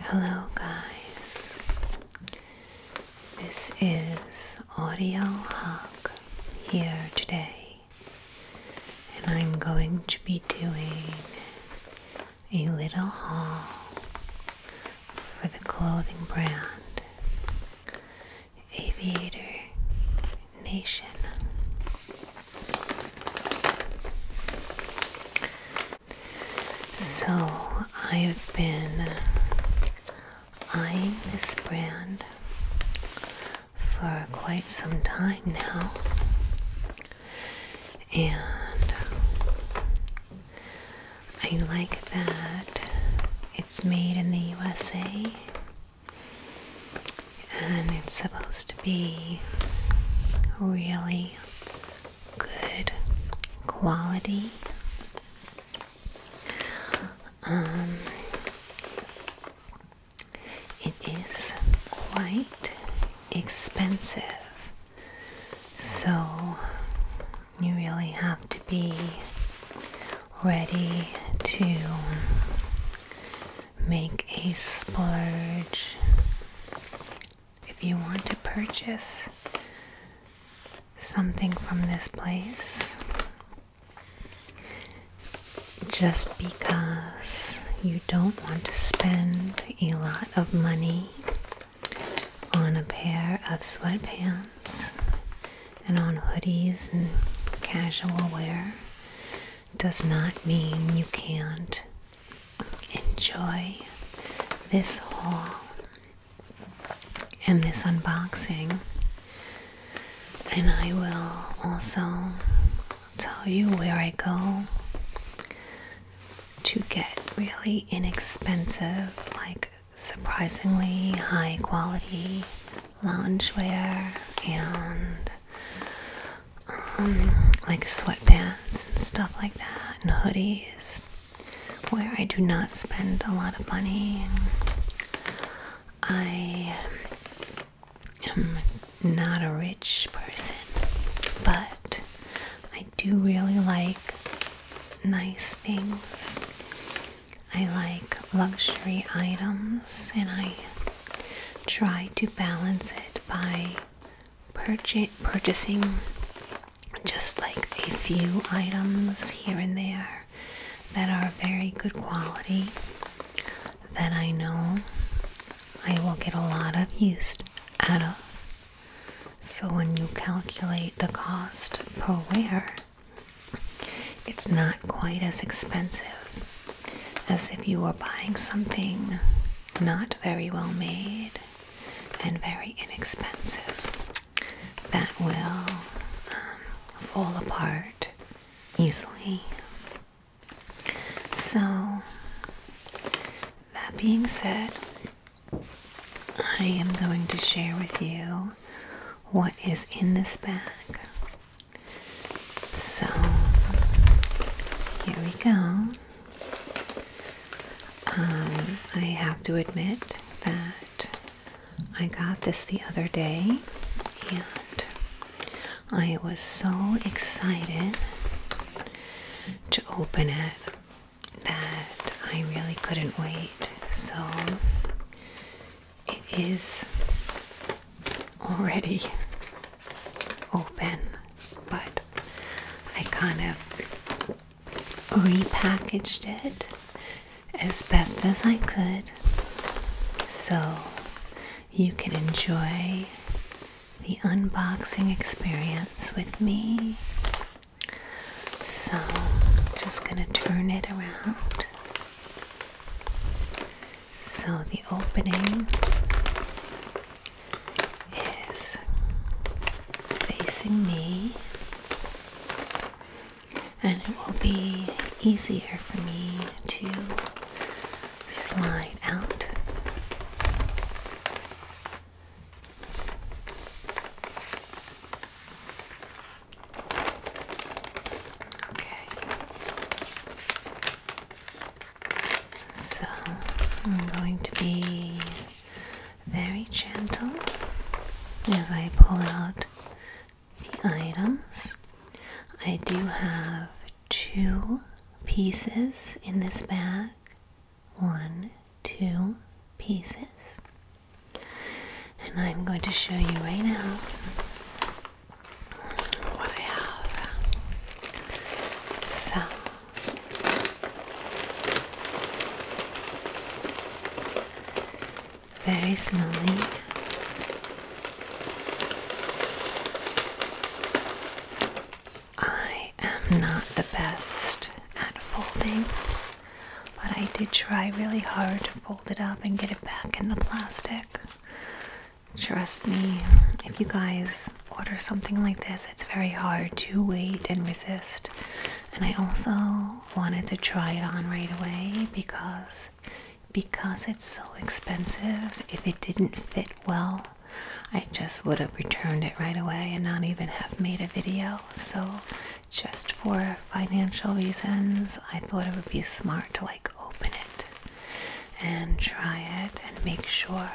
Hello, guys. This is Audio Hug here today, and I'm going to be doing a little haul for the clothing brand Aviator Nation. So I've been eyeing this brand for quite some time now, and I like that it's made in the USA and it's supposed to be really good quality. Um, it is quite expensive, so you really have to be ready to make a splurge if you want to purchase something from this place just because you don't want to spend a lot of money on a pair of sweatpants and on hoodies and casual wear does not mean you can't enjoy this haul and this unboxing, and I will also tell you where I go to get really inexpensive, like surprisingly high quality loungewear and um, like sweatpants and stuff like that, and hoodies, where I do not spend a lot of money. I am not a rich person, but I do really like nice things. I like luxury items and I try to balance it by purchasing just like a few items here and there that are very good quality that I know I will get a lot of used out of. So when you calculate the cost per wear, it's not quite as expensive as if you were buying something not very well made and very inexpensive that will um, fall apart easily. So, that being said, I am going to share with you what is in this bag. So, here we go. Um, I have to admit that I got this the other day and I was so excited to open it that I really couldn't wait. So it is already open, but I kind of repackaged it as best as I could so you can enjoy the unboxing experience with me. So, just going to turn it around. So, the opening is facing me, and it will be easier for me to slide out. Okay. So I'm going to be very gentle as I pull out the items. I do have two pieces in this bag. One, two pieces. And I'm going to show you right now what I have. So very slowly. I am not the best at folding, but I did try really hard to fold it up and get it back in the plastic. Trust me, if you guys order something like this, it's very hard to wait and resist. And I also wanted to try it on right away because because it's so expensive, if it didn't fit well, I just would have returned it right away and not even have made a video. So just for financial reasons, I thought it would be smart to like open it and try it and make sure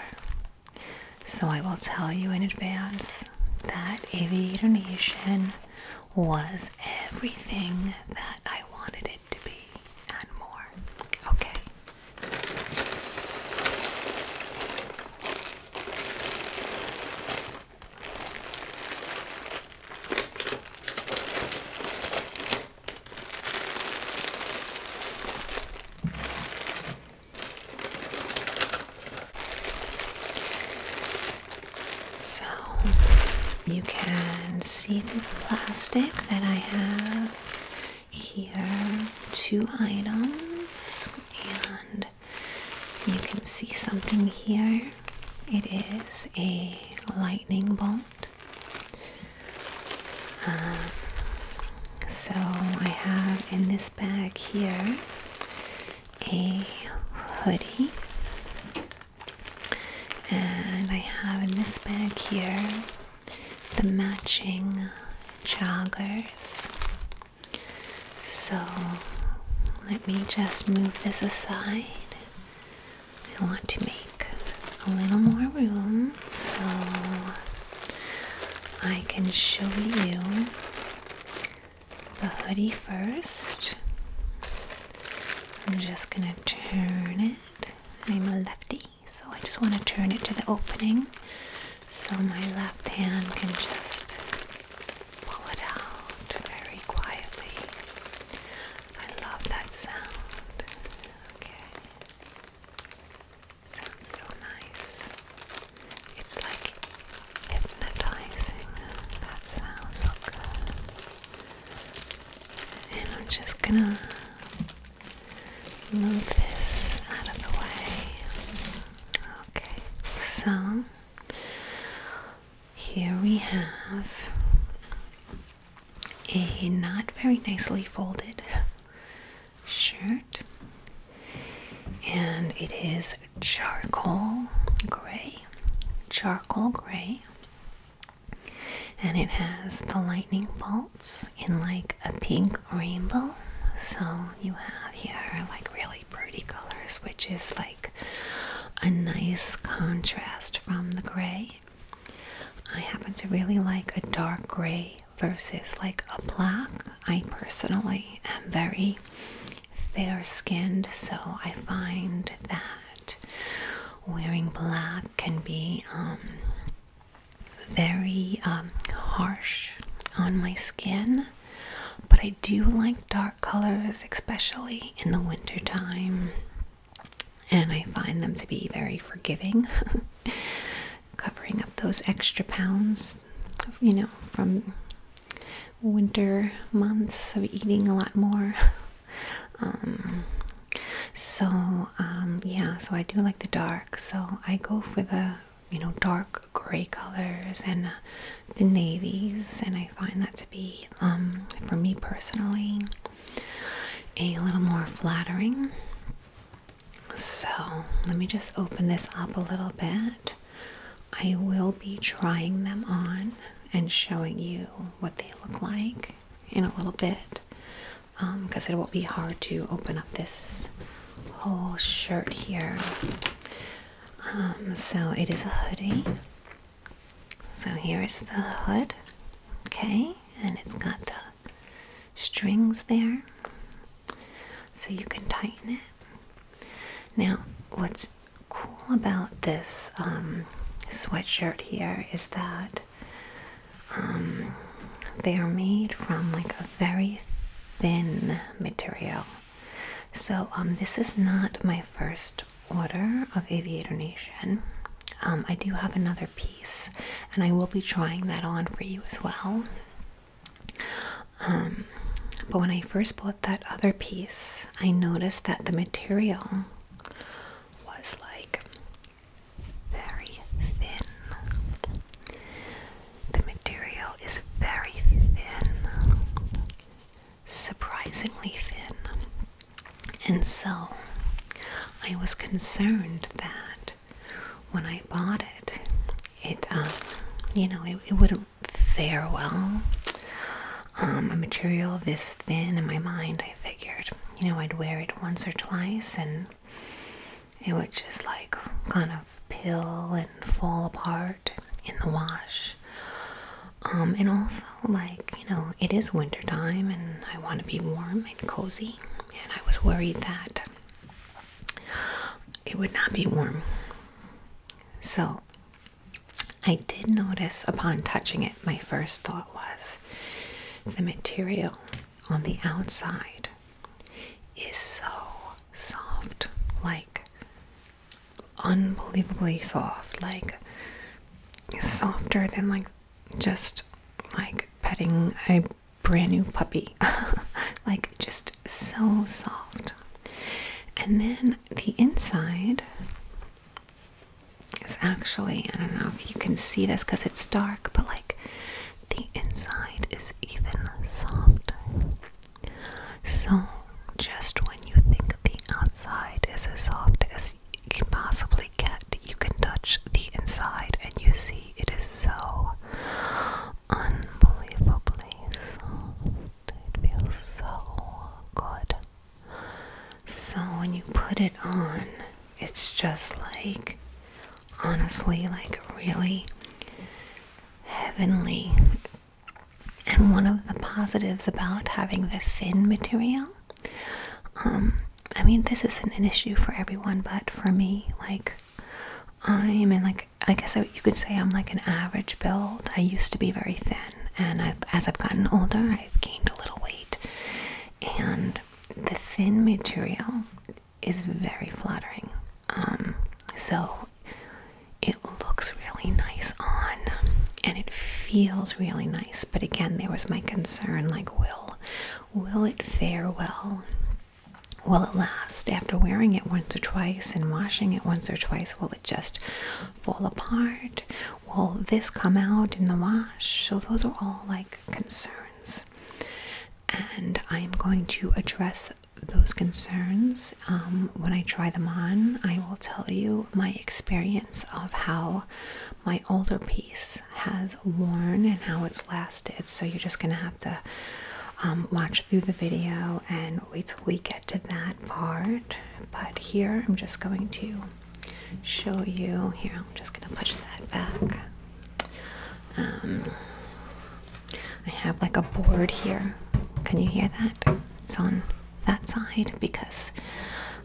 so I will tell you in advance that Aviator Nation was everything that I wanted it to be and more. Okay. So you can see the plastic that I have here two items, and you can see something here. It is a lightning bolt. Uh, so I have in this bag here a hoodie, and I have in this bag here the matching joggers. So let me just move this aside. I want to make a little more room, so I can show you the hoodie first. I'm just gonna turn it. I'm a lefty, so I just want to turn it to the opening so my left hand can just pull it out very quietly. I love that sound. Okay. Sounds so nice. It's like hypnotizing. That sounds so good. And I'm just gonna move this out of the way. Okay, so here we have a not very nicely folded shirt, and it is charcoal gray, charcoal gray, and it has the lightning bolts in like a pink rainbow. So you have here like really pretty colors, which is like a nice contrast from the gray. I happen to really like a dark gray versus like a black. I personally am very fair skinned, so I find that wearing black can be um, very um, harsh on my skin. But I do like dark colors, especially in the wintertime, and I find them to be very forgiving. covering up those extra pounds, you know, from winter months of eating a lot more. um, so, um, yeah, so I do like the dark, so I go for the you know dark gray colors and uh, the navies, and I find that to be, um, for me personally, a little more flattering. So let me just open this up a little bit. I will be trying them on and showing you what they look like in a little bit because um, it will be hard to open up this whole shirt here. Um, so it is a hoodie. So here is the hood, okay, and it's got the strings there so you can tighten it. Now, what's cool about this um, sweatshirt here is that um, they are made from like a very thin material. So, um, this is not my first order of Aviator Nation. I do have another piece, and I will be trying that on for you as well. Um, but when I first bought that other piece, I noticed that the material was like very thin. The material is very thin, surprisingly thin. And so I was concerned that when I bought it, it, um, you know, it, wouldn't fare well. Um, a material this thin in my mind, I figured, you know, I'd wear it once or twice and it would just like kind of pill and fall apart in the wash. Um, and also, like, you know, it is wintertime and I want to be warm and cozy, and I was worried that it would not be warm. So I did notice upon touching it, my first thought was the material on the outside is so soft, like unbelievably soft, like softer than like just like petting I brand new puppy. like just so soft. And then the inside is actually, I don't know if you can see this because it's dark, but like the inside is even softer. So, just when you think the outside is as soft as you can possibly get, you can touch the inside and you see it is so unbelievably soft. It feels so good. So when you put it on, it's just like honestly like really heavenly. And one of the positives about having the thin material, um, I mean, this isn't an issue for everyone, but for me, like I'm in like I guess you could say I'm like an average build. I used to be very thin, and as I've gotten older, I've gained a little weight. And the thin material is very flattering. Um, so it looks really nice on, and it feels really nice. But again, there was my concern: like, will will it fare well? Will it last after wearing it once or twice and washing it once or twice? Will it just fall apart? Will this come out in the wash? So, those are all like concerns, and I am going to address those concerns um, when I try them on. I will tell you my experience of how my older piece has was worn and how it's lasted. So you're just going to have to um, watch through the video and wait till we get to that part. But here I'm just going to show you. Here I'm just going to push that back. Um, I have like a board here. Can you hear that? It's on that side because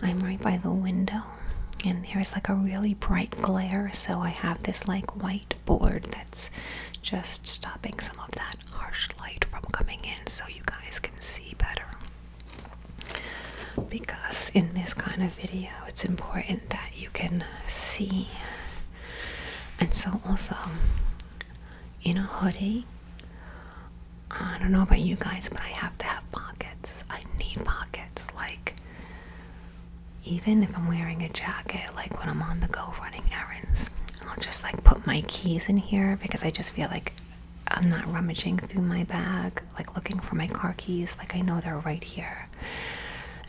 I'm right by the window and there's like a really bright glare so I have this like white board that's just stopping some of that harsh light from coming in so you guys can see better. Because in this kind of video, it's important that you can see. And so, also, in a hoodie, I don't know about you guys, but I have to have pockets. I need pockets. Like, even if I'm wearing a jacket, like when I'm on the go running errands, I'll just like put my keys in here because I just feel like I'm not rummaging through my bag, like looking for my car keys, like I know they're right here.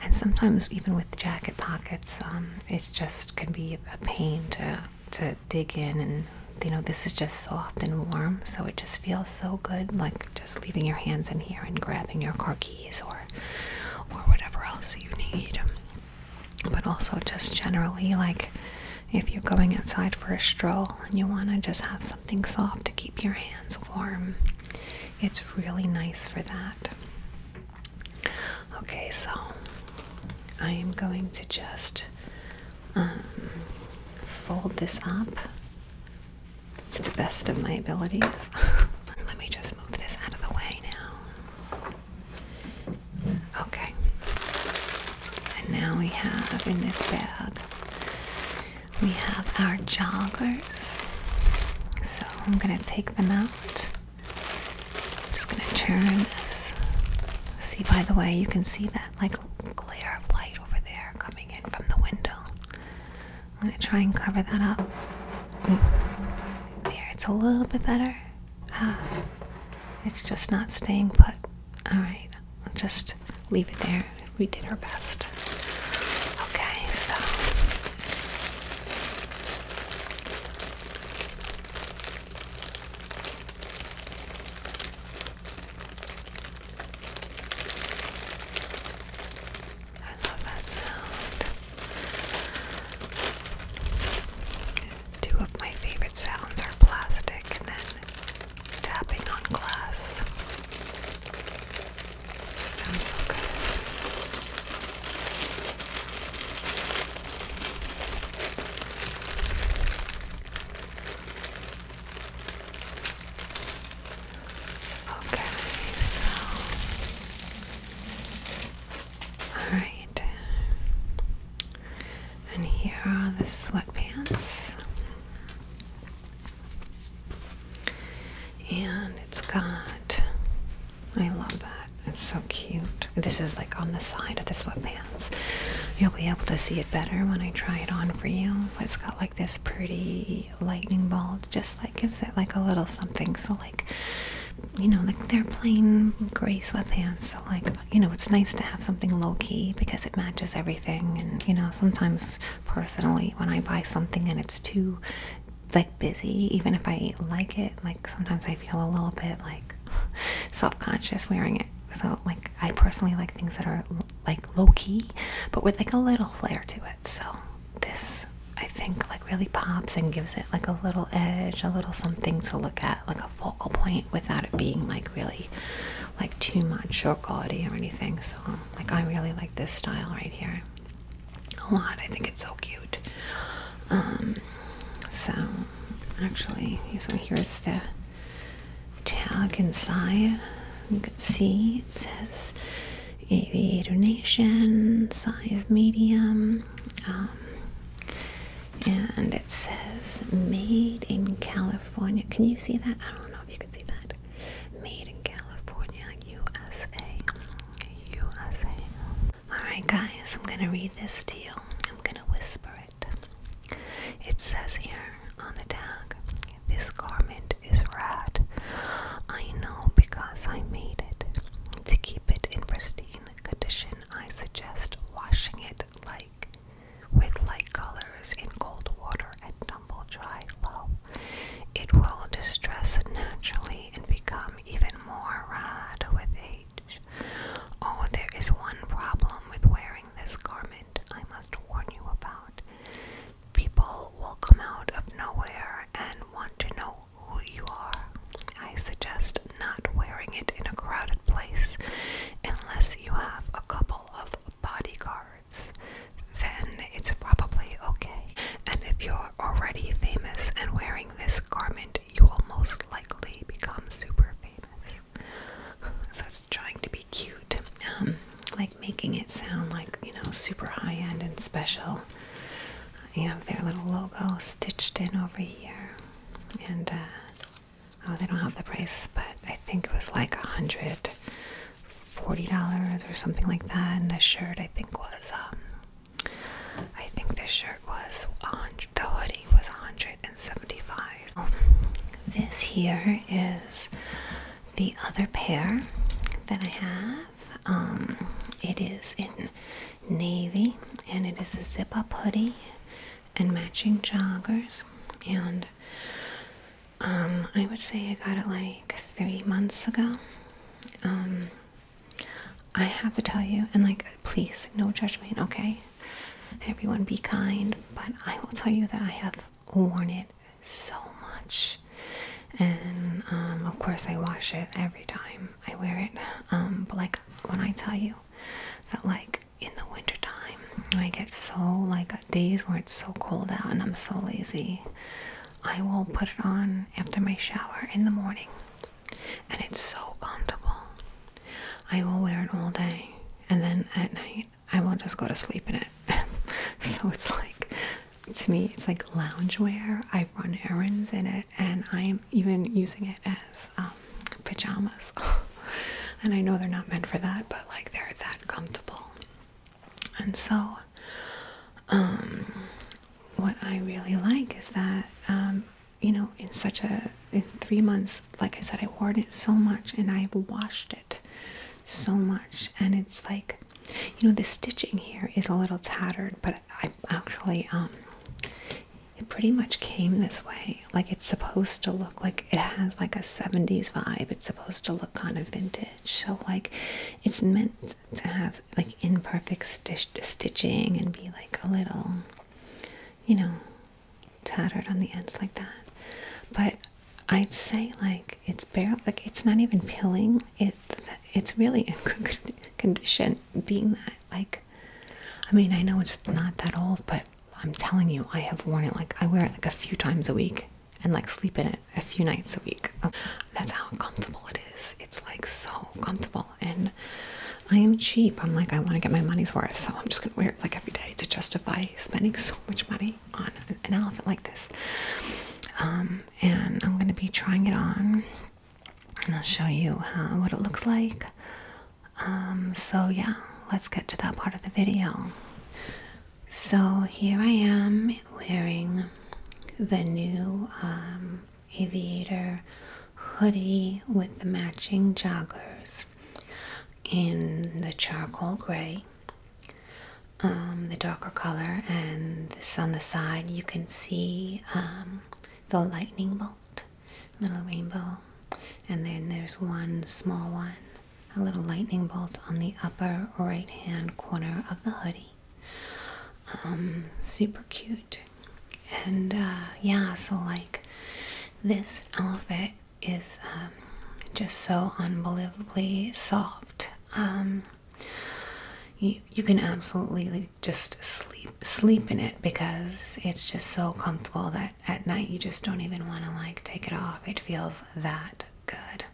And sometimes, even with jacket pockets, um, it just can be a pain to to dig in. And you know, this is just soft and warm, so it just feels so good, like just leaving your hands in here and grabbing your car keys or or whatever else you need but also just generally like if you're going outside for a stroll and you want to just have something soft to keep your hands warm it's really nice for that okay so i am going to just um, fold this up to the best of my abilities. Let me just move this out of the way now. Okay. And now we have in this bag, we have our joggers. So I'm going to take them out. I'm just going to turn this. See, by the way, you can see that like glare of light over there coming in from the window. I'm gonna try and cover that up. There, it's a little bit better. Uh, it's just not staying put. Alright, just leave it there. We did our best. Okay, so. I love that sound. Two of my favorite sounds are plastic and then tapping on glass. It just sounds so good. Okay, so alright. And here are the sweatpants. And it's got I love that. It's so cute. This is like on the side of the sweatpants. You'll be able to see it better when I try it on for you. It's got like this pretty lightning bolt just like gives it like a little something. So like, you know, like they're plain gray sweatpants. So like, you know, it's nice to have something low key because it matches everything. And you know, sometimes personally, when I buy something and it's too like busy, even if I like it, like sometimes I feel a little bit like self-conscious wearing it. So like, I personally like things that are like low key, but with like a little flair to it. So this I think like really pops and gives it like a little edge, a little something to look at, like a focal point without it being like really like too much or gaudy or anything. So like I really like this style right here a lot. I think it's so cute. Um, so actually, so here's the tag inside. You can see it says Aviator Nation, size medium, um, and it says made in California. Can you see that? I don't know if you can see that. Made in California, USA. USA. Alright, guys, I'm gonna read this to you. I'm gonna whisper it. It says here on the tag this garment is rad I know because I made it. To keep it in pristine condition, I suggest washing it like with light colors in cold water and tumble dry low. It will distress naturally and become even more red with age. Oh, there is one problem with wearing this garment I must warn you about. People will come out of nowhere and want to know who you are. I suggest not wearing it in a crowded place unless you have a couple of bodyguards. Then it's probably okay. And if you're already famous and wearing this garment, you will most likely become super famous. So it's trying to be cute, um, like making it sound like, you know, super high end and special. I have their little logo stitched in over here, and uh, oh, they don't have the price, but I think it was like a hundred forty dollars or something like that. And the shirt, I think, was um, I think the shirt was The hoodie was hundred and seventy-five. Oh, this here is the other pair that I have. Um, it is in navy and it is a zip up hoodie and matching joggers. And um, I would say I got it like three months ago. Um, I have to tell you, and like, please, no judgment, okay? Everyone be kind, but I will tell you that I have worn it so much and um, of course I wash it every time I wear it um, but like when I tell you that like in the winter time I get so like days where it's so cold out and I'm so lazy I will put it on after my shower in the morning and it's so comfortable I will wear it all day and then at night I will just go to sleep in it so it's like to me it's like loungewear. I run errands in it, and I am even using it as um, pajamas. and I know they're not meant for that, but like they're that comfortable. And so, um, what I really like is that um, you know, in such a in three months, like I said, I wore it so much, and I've washed it so much, and it's like. You know, the stitching here is a little tattered, but I actually um it pretty much came this way. Like it's supposed to look like it has like a 70s vibe. It's supposed to look kind of vintage. So like it's meant to have like imperfect stitching and be like a little you know tattered on the ends like that. But I'd say like it's bare like it's not even pilling. It it's really in good condition being that like i mean i know it's not that old but i'm telling you i have worn it like i wear it like a few times a week and like sleep in it a few nights a week um, that's how comfortable it is it's like so comfortable and i am cheap i'm like i want to get my money's worth so i'm just gonna wear it like every day to justify spending so much money on an elephant like this um, and i'm gonna be trying it on and I'll show you uh, what it looks like. Um, so yeah, let's get to that part of the video. So here I am wearing the new um, aviator hoodie with the matching joggers in the charcoal gray, um, the darker color, and this on the side you can see um, the lightning bolt, little rainbow, and then there's one small one, a little lightning bolt on the upper right hand corner of the hoodie. Um, super cute, and uh, yeah, so like this outfit is um, just so unbelievably soft you, you can absolutely just sleep sleep in it because it's just so comfortable that at night you just don't even want to like take it off it feels that good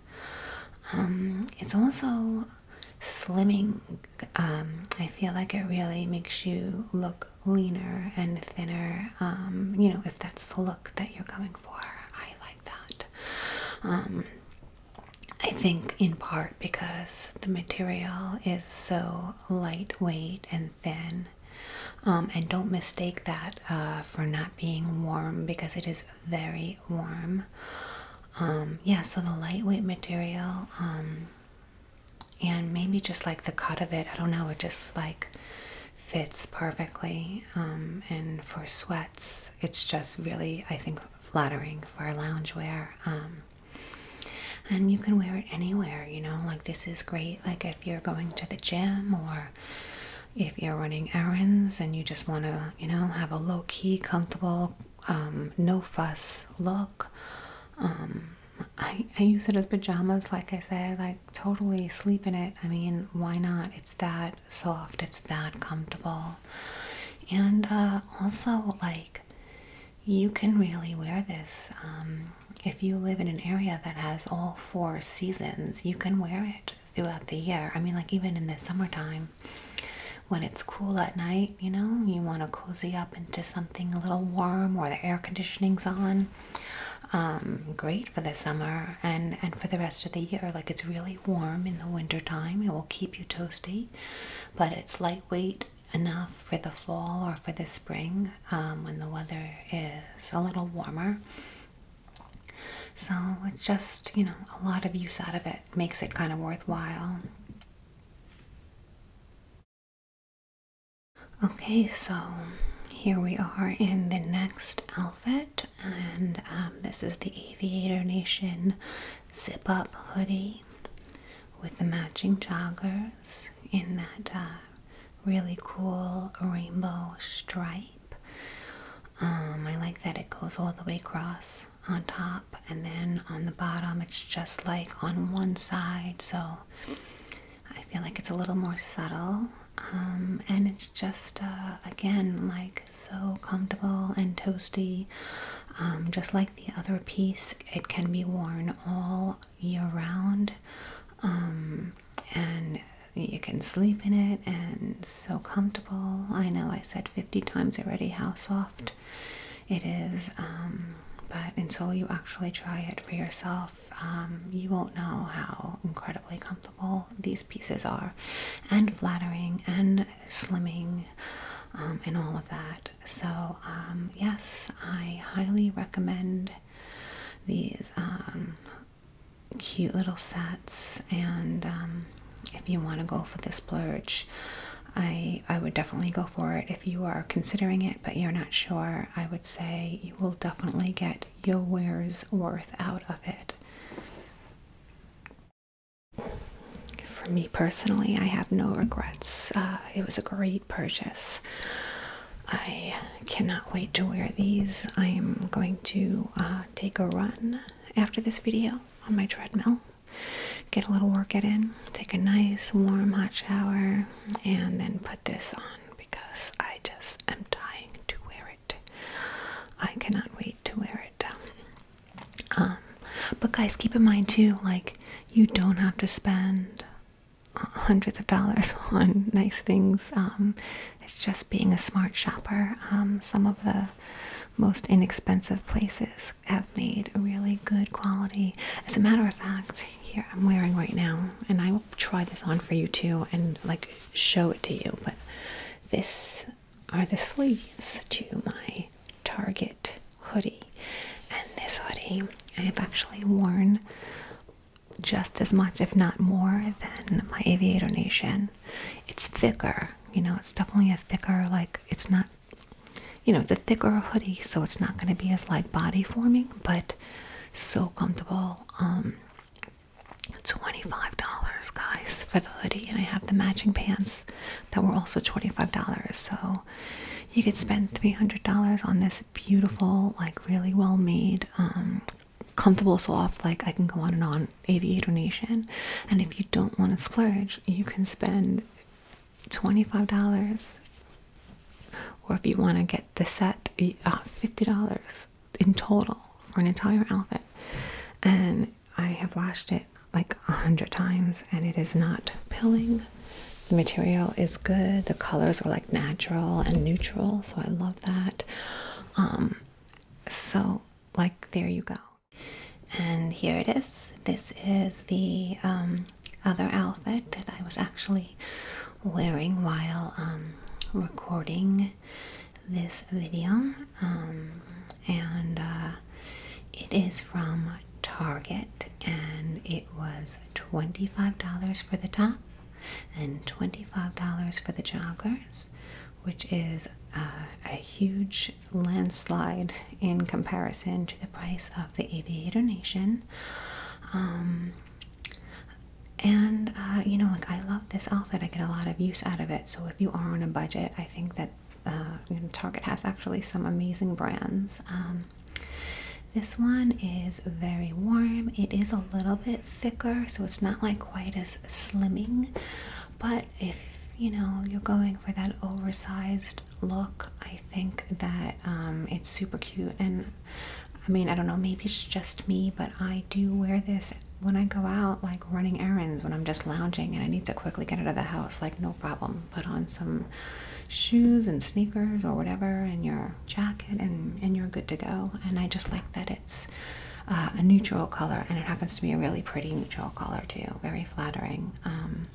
um, it's also slimming um, i feel like it really makes you look leaner and thinner um, you know if that's the look that you're going for i like that I think in part because the material is so lightweight and thin. Um, and don't mistake that uh, for not being warm because it is very warm. Um, yeah, so the lightweight material, um, and maybe just like the cut of it, I don't know, it just like fits perfectly. and for sweats, it's just really, I think, flattering for lounge wear, um, and you can wear it anywhere, you know, like this is great. Like if you're going to the gym or if you're running errands and you just want to, you know, have a low key, comfortable, um, no fuss look. Um, I use it as pajamas, like I said, like totally sleep in it. I mean, why not? It's that soft, it's that comfortable. And uh, also, like, you can really wear this. Um, if you live in an area that has all four seasons, you can wear it throughout the year. I mean, like, even in the summertime when it's cool at night, you know, you want to cozy up into something a little warm or the air conditioning's on. Um, great for the summer and, and for the rest of the year. Like, it's really warm in the wintertime. it will keep you toasty but it's lightweight enough for the fall or for the spring um, when the weather is a little warmer. So it just, you know, a lot of use out of it makes it kind of worthwhile. Okay, so here we are in the next outfit, and um, this is the Aviator Nation zip up hoodie with the matching joggers in that uh, really cool rainbow stripe. Um, I like that it goes all the way across on top and then on the bottom it's just like on one side so I feel like it's a little more subtle um, and it's just uh, again like so comfortable and toasty. Um, just like the other piece, it can be worn all year round, um, and you can sleep in it, and so comfortable. I know I said 50 times already how soft it is, um, but until you actually try it for yourself, you won't know how incredibly comfortable these pieces are, and flattering, and slimming, um, and all of that. So, um, yes, I highly recommend these um, cute little sets. And if you want to go for this splurge, I I would definitely go for it. If you are considering it, but you're not sure, I would say you will definitely get your wear's worth out of it. For me personally, I have no regrets. Uh, it was a great purchase. I cannot wait to wear these. I am going to uh, take a run after this video on my treadmill, get a little workout in, take a nice warm hot shower, and then put this on because I just am dying to wear it. I cannot wait to wear it. Um, um, but guys, keep in mind too, like you don't have to spend hundreds of dollars on nice things. Um, it's just being a smart shopper. Um, some of the most inexpensive places have made really good quality. As a matter of fact, here I'm wearing right now, and I will try this on for you too, and like show it to you. But this are the sleeves to my Target hoodie. And this hoodie I have actually worn just as much, if not more, than my Aviator Nation. It's thicker, you know, it's definitely a thicker, like, it's not, you know, it's a thicker hoodie, so it's not going to be as, like, body forming, but so comfortable. Um, $25, guys, for the hoodie, and I have the matching pants that were also $25. So you could spend $300 on this beautiful, like really well made, um, comfortable soft, like I can go on and on aviator nation. And if you don't want to splurge, you can spend $25 or if you want to get the set uh, $50 in total for an entire outfit and I have washed it like a hundred times and it is not pilling. The material is good. The colors are like natural and neutral, so I love that. Um, so like there you go. And here it is. This is the um, other outfit that I was actually wearing while um, recording this video and uh, it is from Target, and it was $25 for the top and $25 for the joggers, which is uh, a huge landslide in comparison to the price of the Aviator Nation. Um, and uh, you know, like I love this outfit, I get a lot of use out of it. So, if you are on a budget, I think that uh, Target has actually some amazing brands. Um, this one is very warm. It is a little bit thicker, so it's not like quite as slimming. But if you know you're going for that oversized look, I think that um, it's super cute. And I mean, I don't know, maybe it's just me, but I do wear this when I go out. Like running errands when I'm just lounging and I need to quickly get out of the house, like no problem. Put on some shoes and sneakers or whatever and your jacket and, and you're good to go. And I just like that it's uh, a neutral color and it happens to be a really pretty neutral color too. Very flattering. Um,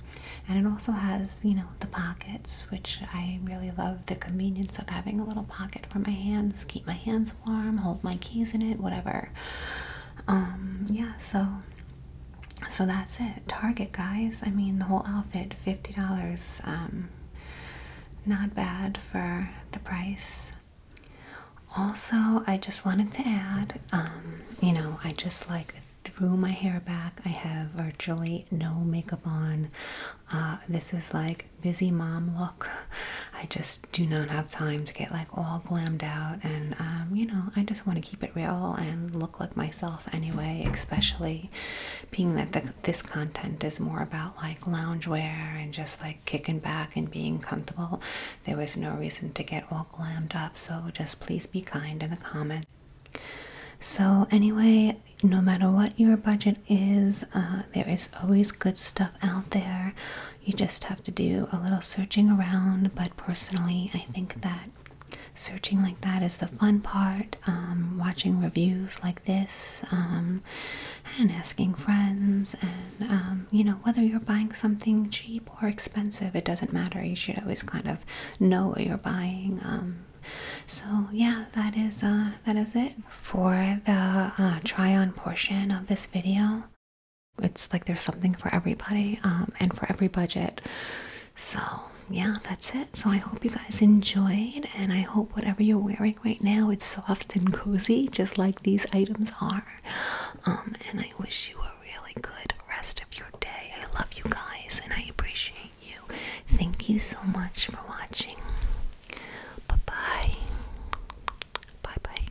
and it also has, you know, the pockets, which I really love the convenience of having a little pocket for my hands, keep my hands warm, hold my keys in it, whatever. Um, yeah, so so that's it. Target, guys. I mean, the whole outfit, $50. Um, not bad for the price. Also, I just wanted to add, um, you know, I just like threw my hair back. I have virtually no makeup on. Uh, this is like busy mom look. I just do not have time to get like all glammed out and um, you know i just want to keep it real and look like myself anyway especially being that this content is more about like lounge wear and just like kicking back and being comfortable there was no reason to get all glammed up so just please be kind in the comments so anyway no matter what your budget is uh, there is always good stuff out there you just have to do a little searching around but personally, I think that searching like that is the fun part. Um, watching reviews like this, um, and asking friends, and um, you know, whether you're buying something cheap or expensive, it doesn't matter. You should always kind of know what you're buying. so yeah, that is uh, that is it for the uh, try-on portion of this video it's like there's something for everybody um, and for every budget. So, yeah, that's it. So, I hope you guys enjoyed, and I hope whatever you're wearing right now it's soft and cozy, just like these items are. Um, and I wish you a really good rest of your day. I love you guys, and I appreciate you. Thank you so much for watching. Bye bye. Bye bye.